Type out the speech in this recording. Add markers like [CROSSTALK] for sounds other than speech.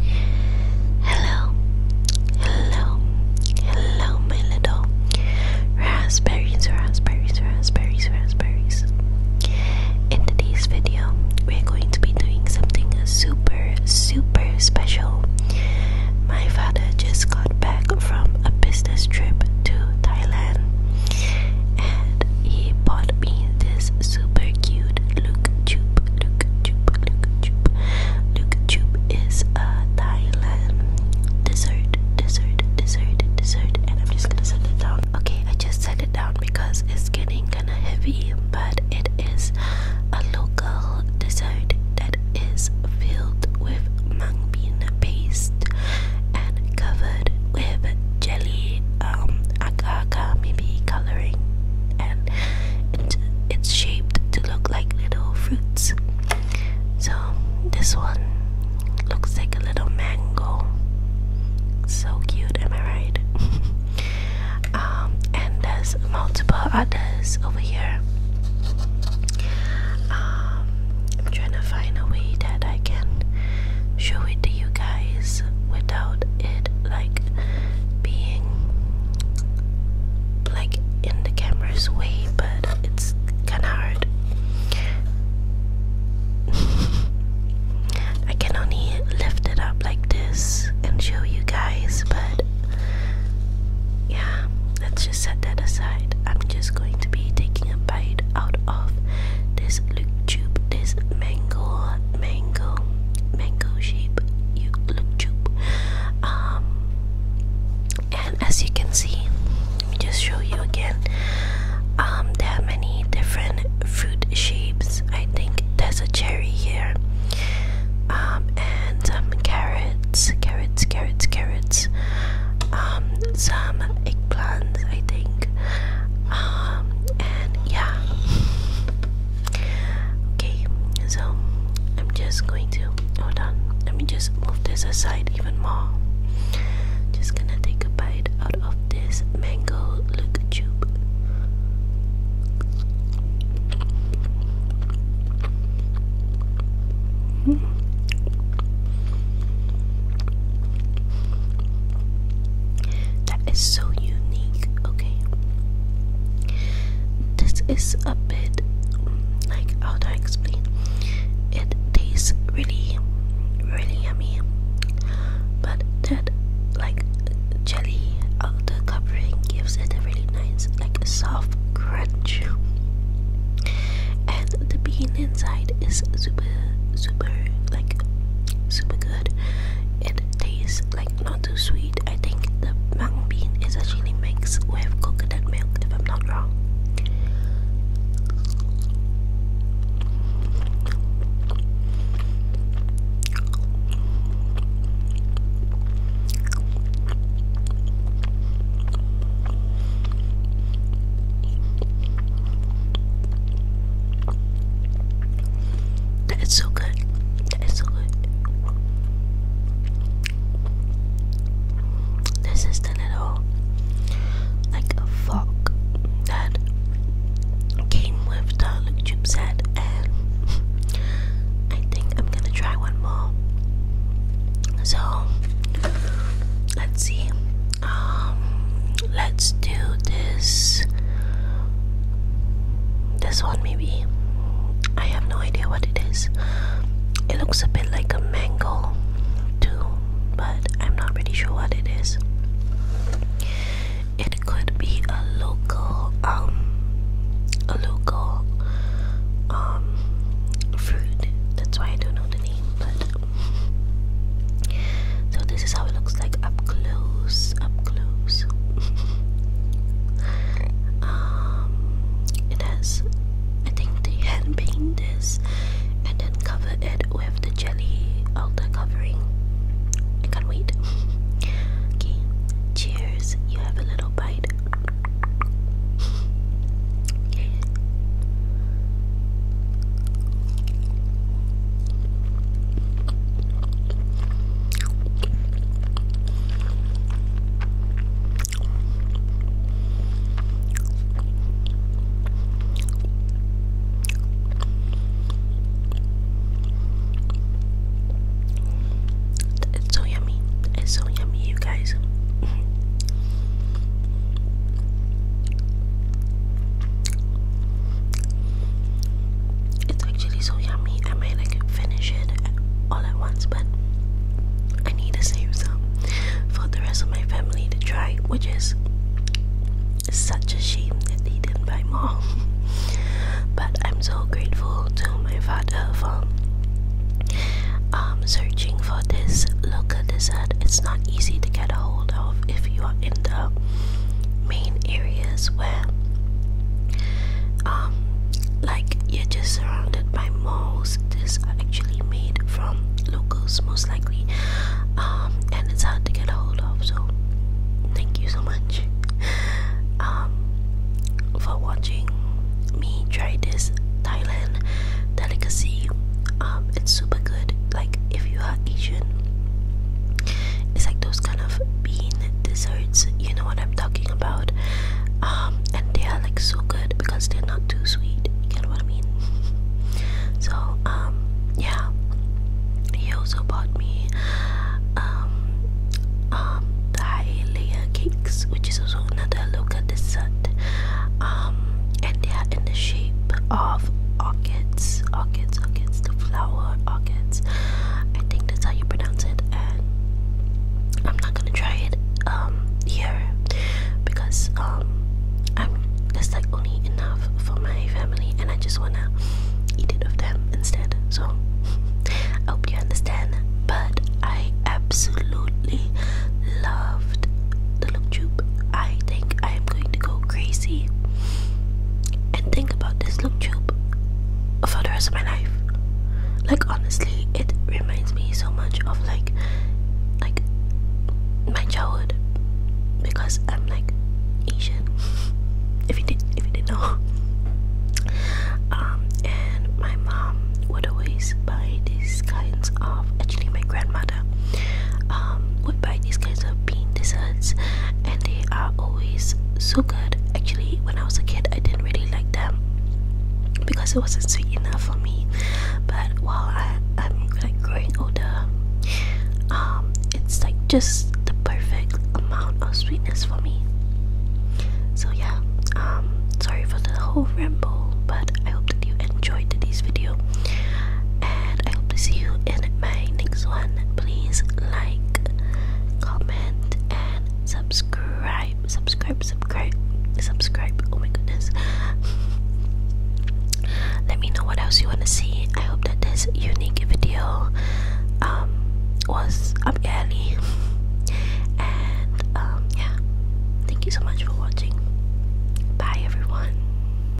Hello, hello, hello, my little raspberries, raspberries, raspberries, raspberries. In today's video, we're going to be doing something super, super special. My father just got back from a business trip to Thailand and he bought me this super cute Look Tube Nukuchup is a uh, Thailand dessert, dessert, dessert, dessert, and I'm just gonna set it down. Okay, I just set it down because it's getting kinda heavy, but it is a local dessert that is filled with mung bean paste and covered with jelly, um, agar maybe coloring, and it's shaped to look like little fruits. So this one looks like a little mango. So cute, am I right? [LAUGHS] Um, and there's multiple others over here. Um, I'm trying to find a way that I can show it to you guys without it like being like in the camera's way, but it's kind of hard. [LAUGHS] I can only lift it up like this and show you guys, but yeah, let's just set that aside. I'm just going to be taking a bite out of this loop tube, this mango mango, mango shape, you Um, and as you can see, let me just show you again. Um, there are many different fruit shapes. I think there's a cherry here. Um, and some carrots, carrots, carrots, carrots. Um, some eggplants, I think. Um, and yeah. Okay, so I'm just going to hold on. Let me just move this aside even more. Just gonna take a bite out of this mango look tube. Mm that is so unique, okay? This is a bit like how do I explain? It tastes really, really yummy, but that like jelly out the covering gives it a really nice, like soft crunch, and the bean inside is super, super like super good. It tastes like not too sweet. I think the mung bean is actually mixed with coconut milk, if I'm not wrong. That is so good. That is so good. This isn't at like a that came with the look set, and I think I'm gonna try one more. So let's see. Um, let's do this this one maybe i have no idea what it is it looks a bit like a mango too but i'm not really sure what it is it could be a local um a local um fruit that's why i don't know the name but [LAUGHS] so this is how it looks like up close, up close. [LAUGHS] Um, it has, I think they hand paint this and then cover it with the jelly outer covering. can't wait. [LAUGHS] okay, cheers. You have a little bite. okay. [LAUGHS] It's so yummy. It's so yummy, you guys. It's actually so yummy. I mean, I finish it all at once, but I need to save some for the rest of my family to try, which is such a shame that they didn't buy more. [LAUGHS] but I'm so grateful to my father for um, searching for this local dessert. It's not easy to get a hold of if you are in the main area where um, like you're just surrounded by malls this is actually made from locals most likely um, and it's hard to get a hold of so thank you so much um, for watching me try this Thailand delicacy it's super good like if you are Asian it's like those kind of bean desserts, you know what I'm talking about. Um, and they are like so good because they're not too sweet. You get what I mean? [LAUGHS] so um, yeah. He also bought me um, um, the high cakes, which is also another local dessert. Um, and they are in the shape of orchids, orchids, orchids flower orchids. I think that's how you pronounce it, and I'm not gonna try it um here because um I'm that's like only enough for my family, and I just wanna eat it of them instead. So [LAUGHS] I hope you understand. But I absolutely loved the look tube. I think I am going to go crazy and think about this loop tube for the rest of my life. Like honestly, it reminds me so much of like like my childhood because I'm like Asian. [LAUGHS] If you did if you didn't know. [LAUGHS] Um and my mom would always buy these kinds of actually my grandmother Canada, um, buy these kinds of bean desserts, and they are always so good. Actually, when I was a kid, I didn't really like them because it wasn't sweet enough for me. But while I, am like growing older, um, it's like just the perfect amount of sweetness for me. So yeah, um, sorry for the whole ramble, but I hope that you enjoyed today's video and I hope to see you in my next one. Please like, comment, and subscribe. Subscribe, subscribe, subscribe. Oh my goodness. [LAUGHS] Let me know what else you want to see. I hope that this unique video um, was up early. [LAUGHS] and um, yeah, thank you so much for watching. Bye, everyone.